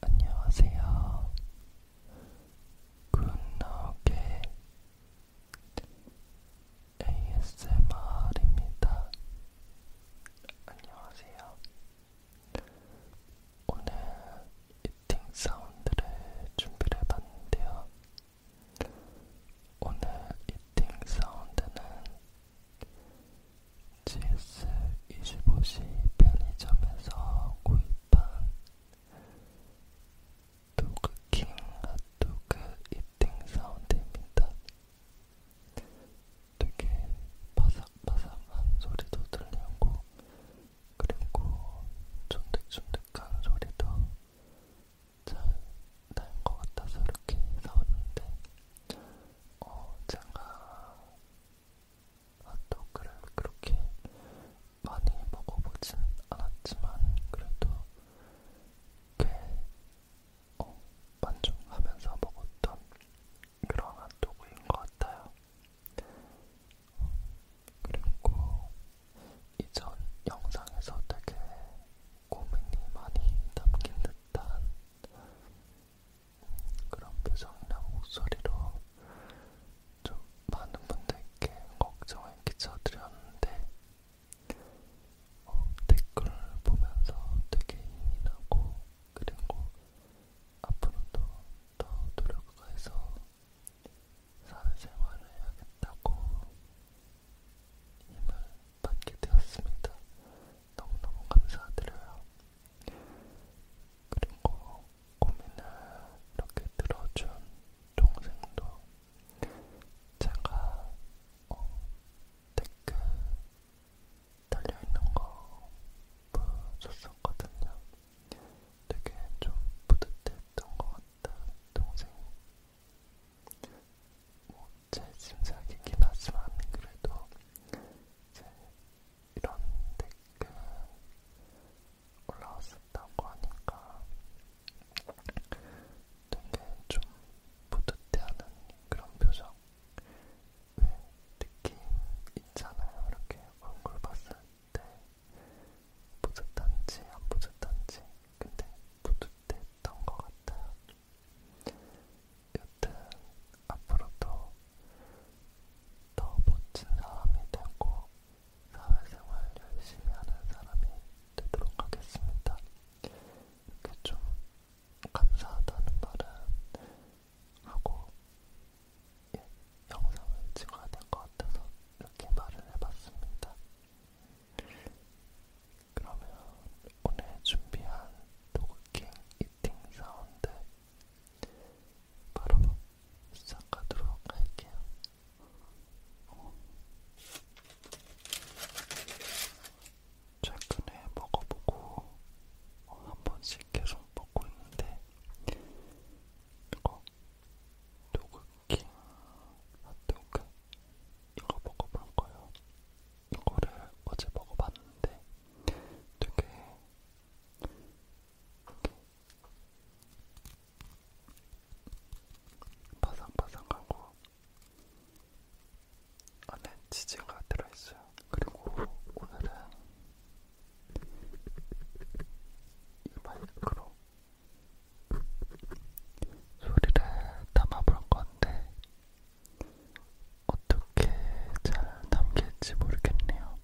안녕하세요. 굿나게 ASMR입니다. 안녕하세요. 오늘 이팅 사운드를 준비를 해봤는데요. 오늘 이팅 사운드는 GS25C 편의점에서 구입한 도그킹 핫도그 이팅 사운드입니다. 되게 바삭바삭한 소리도 들리고 그리고 쫀득쫀득한 소리도 잘날것 같아서 이렇게 사왔는데 어 제가 핫도그를 그렇게 많이 먹어보진 않았지만 그래도 꽤 어, 만족하면서 먹었던 그런 핫도그인 것 같아요. 그리고 이전 영상에서 되게 고민이 많이 담긴 듯한 그런 표정이나 목소리로 좀 많은 분들께 걱정을 끼쳐드렸는데 어, 댓글 보면서 되게 힘이 나고 그리고 앞으로도 더 노력해서 사회생활을 해야겠다고 힘을 받게 되었습니다. 너무너무 감사드려요. 그리고 고민을 이렇게 들어준 동생도 제가 어, 댓글 달려있는 거 보여줬었거든요. 되게 좀 뿌듯했던 것 같아요. 동생이 뭐제 짐작이긴 하지만 그래도 이제 이런 댓글 올라왔었다고 하니까 되게 좀 뿌듯해하는 그런 표정 왜 느낌 있잖아요 이렇게 얼굴 봤을 때 뿌듯한지 안 뿌듯한지 근데 뿌듯했던 것 같아요 여튼 앞으로도 더 멋진 사람이 되고 사회생활 열심히 하는 사람이 되도록 하겠습니다. 이렇게 좀 감사하다는 말은 하고 예, 영상을 찍어야 될 것 같아서 이렇게 말을 해봤습니다. 그러면 오늘 준비한 도그킹 이팅 사운드 바로 시작하도록 할게요. 최근에 먹어보고 한 번씩 계속 먹고 있는데 이거 도그킹 핫도그 이거 먹어볼 거예요. 이거를 어제 먹어봤는데 되게 바삭바삭하고 안에 치즈가 들어있어요. 그리고 오늘은 이 마이크로 소리를 담아볼 건데 어떻게 잘 담길지 모르겠네요.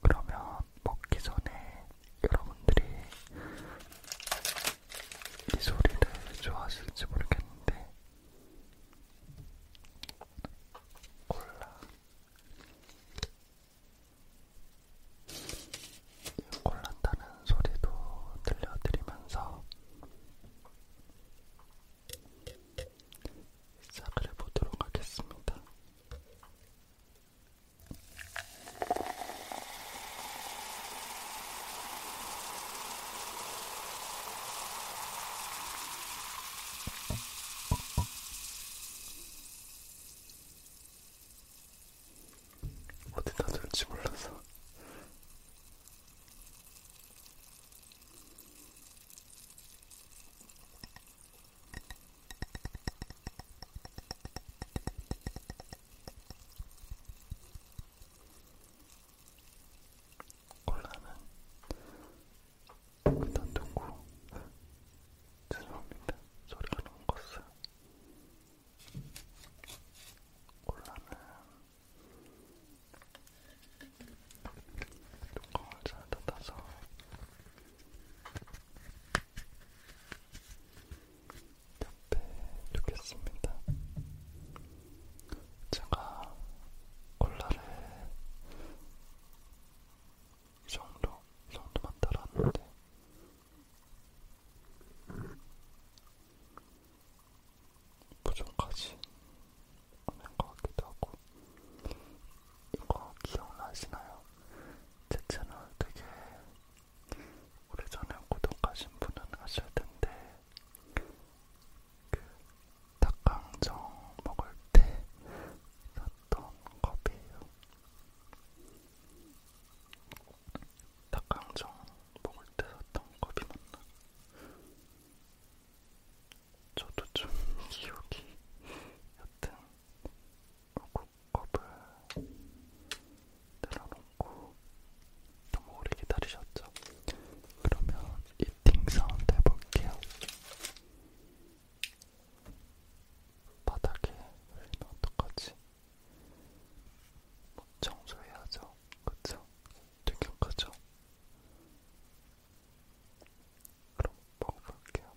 그러면 먹기 전에 여러분들이 이 소리를 좋아하실지 모르겠는데 콜라 골랐다는 소리도 들려드리면서 시작을 해보도록 하겠습니다. 어디다 둘지 몰라서 콜라는 그단 두고 죄송합니다. 소리 안온 것은 콜라는 뚜껑을 잘 닫아서 옆에 두겠습니다. 제가 콜라를 이 정도, 이 정도만 따라왔는데 보존까지 하는 것 같기도 하고 이거 기억나시나요? 제 채널 되게 오래전에 구독하신 분은 아실 텐데 그 닭강정 먹을 때 샀던 컵이에요. 닭강정 먹을 때 샀던 컵이 맞나? 저도 좀 기억이 여튼 컵을 내려놓고 너무 오래 기다리셨죠? 그러면 이팅 사운드 해볼게요. 바닥에 흘리면 어떡하지? 청소해야죠. 그쵸? 되게 크죠? 그럼 먹어볼게요.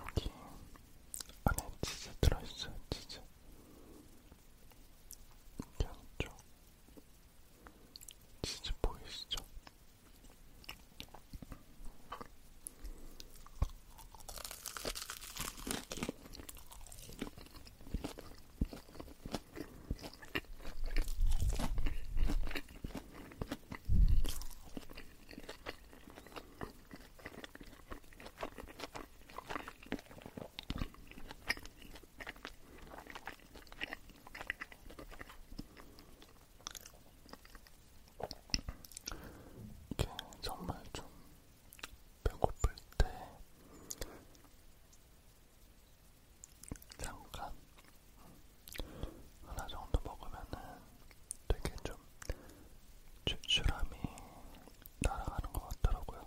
여기 안에 치즈 들어있어요, 치즈. 양쪽 진짜 보이시죠? 이게 정말 좀 배고플 때 잠깐 하나 정도 먹으면은 되게 좀 출출함이 날아가는 것 같더라고요.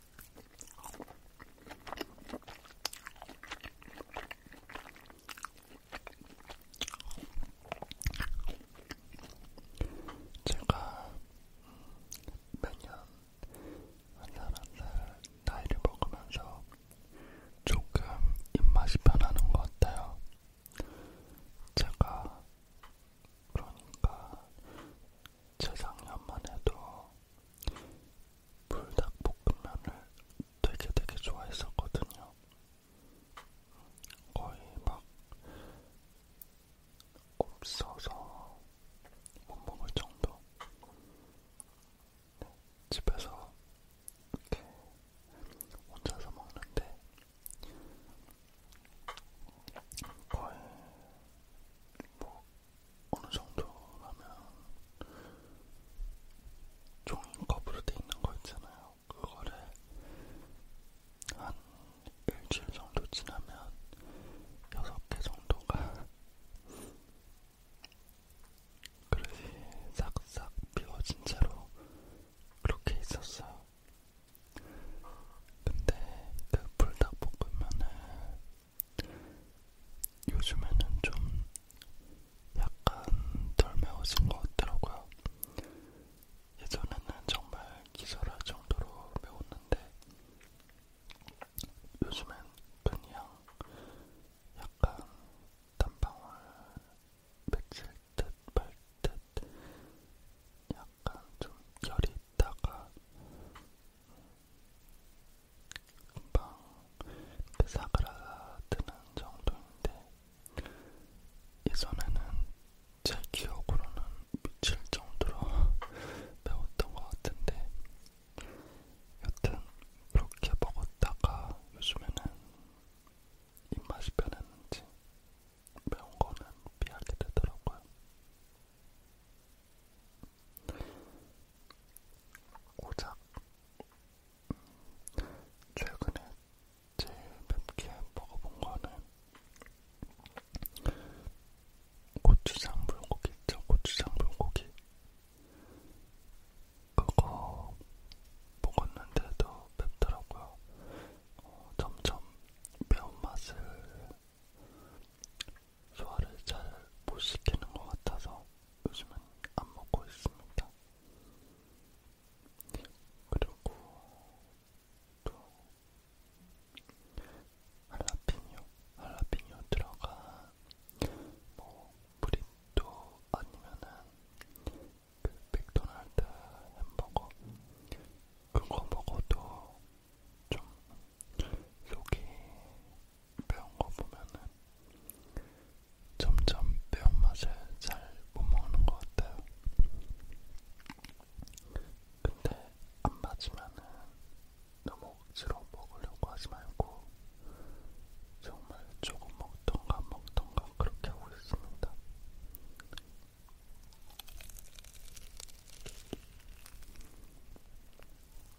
제가 매년 한살한살 나이를 먹으면서 조금 입맛이 변하는 것 같아요. 제가 그러니까 재작년만 해도 불닭볶음면을 되게 되게 좋아했었거든요. 거의 막 없어서 못 먹을 정도. 네, 집에서 이렇게 혼자서 먹는데 거의 뭐 어느 정도 하면 종이컵으로 돼 있는 거 있잖아요. 그거를 한 일주일 정도 지나면 여섯 개 정도가 그릇이 싹싹 비워진 채로 그렇게 있었어요. 근데 그 불닭볶음면을 요즘에는 좀 약간 덜 매워진 것 같더라고요. 예전에는 정말 기절할 정도로 매웠는데 요즘엔 그냥 약간 단방울 맺힐 듯말 듯 약간 좀 열이 있다가 금방 사그라드는 정도인데 예전에는 제 기억으로는 미칠 정도로 배웠던 것 같은데 여튼 그렇게 먹었다가 요즘에는 입맛이 변했는지 매운 거는 피하게 되더라고요. 고작 음, 최근에 제일 맵게 먹어본 거는 고추장 불고기 있죠? 고추장 불고기 그거 먹었는데도 맵더라고요. 어, 점점 매운맛을 소화를 잘 못 시키는 것 같아서 요즘은 안 먹고 있습니다. 그리고 또 할라피뇨, 할라피뇨 들어간 뭐 브리또 아니면은 그 맥도날드 햄버거 그거 먹어도 좀 속이 매운 거 보면은 점점 매운 맛을 잘 못 먹는 것 같아요. 근데 안 맞으면은 너무 억지로 먹으려고 하지 말고 정말 조금 먹던가 먹던가 그렇게 하고 있습니다.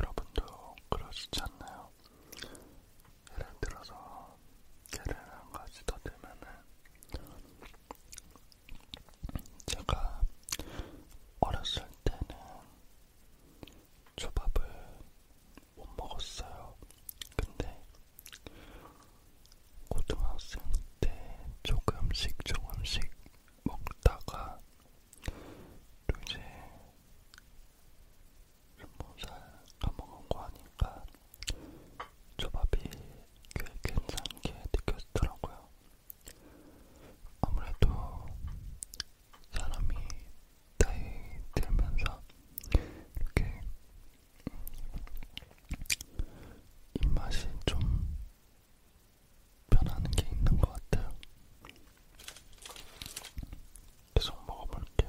여러분도 그러시지 않나요? 예를 들어서 개를 한 가지 더 들면은 제가 어렸을 때는 초밥을 못 먹었어요. 근데 고등학생 때 조금씩 조금씩 먹다가 또 이제 스무살 까먹은 거 하니까 초밥이 꽤 괜찮게 느껴지더라고요. 아무래도 사람이 나이 들면서 이렇게 입맛이 좀 변하는 게 있는 것 같아요. 계속 먹어볼게요.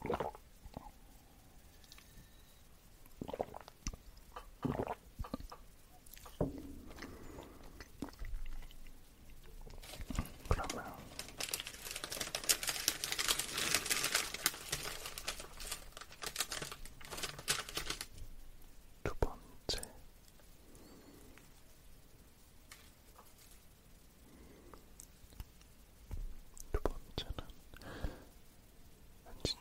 그러면 두 번째 두 번째는 왠지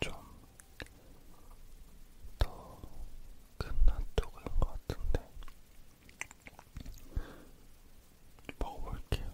좀더큰 핫도그인 것 같은데 먹어볼게요.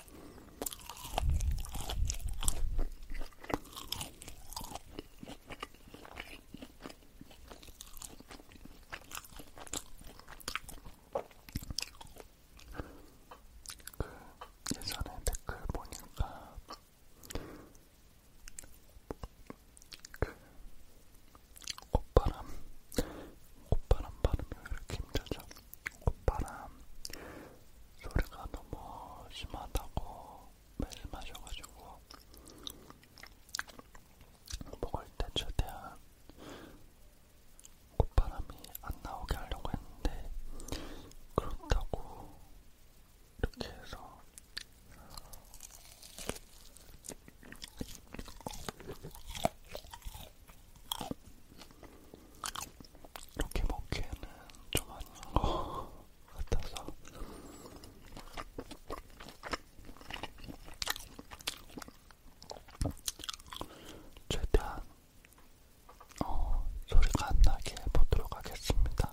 그 예전에 댓글 보니까 그 꽃바람, 꽃바람 발음이 왜 이렇게 힘들죠? 콧바람 소리가 너무 심하다고 매일 마셔가지고 먹을 때 최대한 콧바람이 안 나오게 하려고 했는데 그렇다고 이렇게 해서 이렇게 먹기에는 좀 아닌 것 같아서 최대한 어, 소리가 안 나게 보도록 하겠습니다.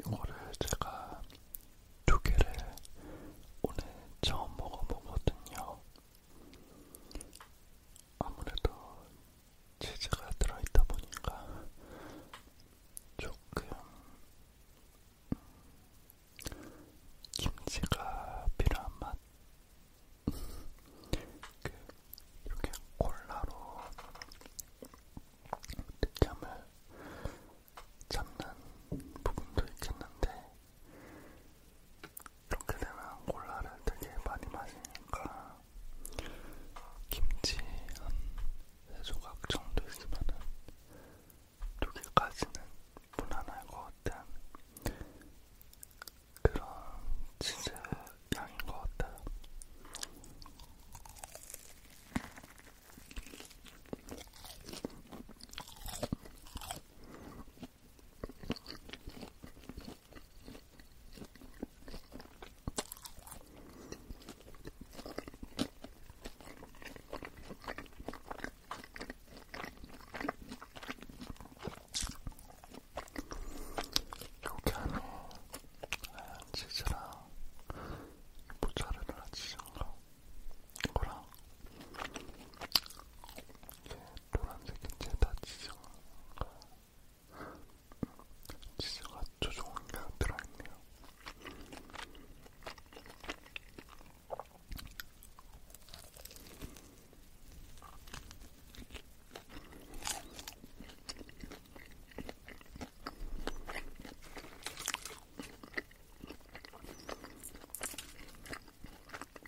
이거를 제가 두 개를 오늘 처음 먹어보거든요. 아무래도 치즈가 들어있다 보니까 조금 김치가 필요한 맛. 그 이렇게 콜라로 느낌을 잡는 부분도 있겠는데 이렇게 되면 콜라를 되게 많이 마시니까 김치 한세 조각 정도 있으면은 두 개까지는 무난할 것 같은 그런 치즈 양인 것 같아요. 이렇게 하면 하얀 네, 치즈랑 모짜렐라 치즈인가? 이거랑 이렇게 노란색은 제다 지저가 지저가 조종이가 들어있네요.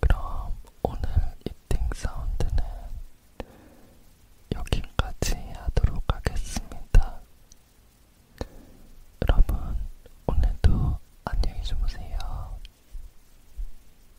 그럼 오늘 이팅 사운드는 여기까지 하도록 하겠습니다. 여러분, 오늘도 안녕히 주무세요.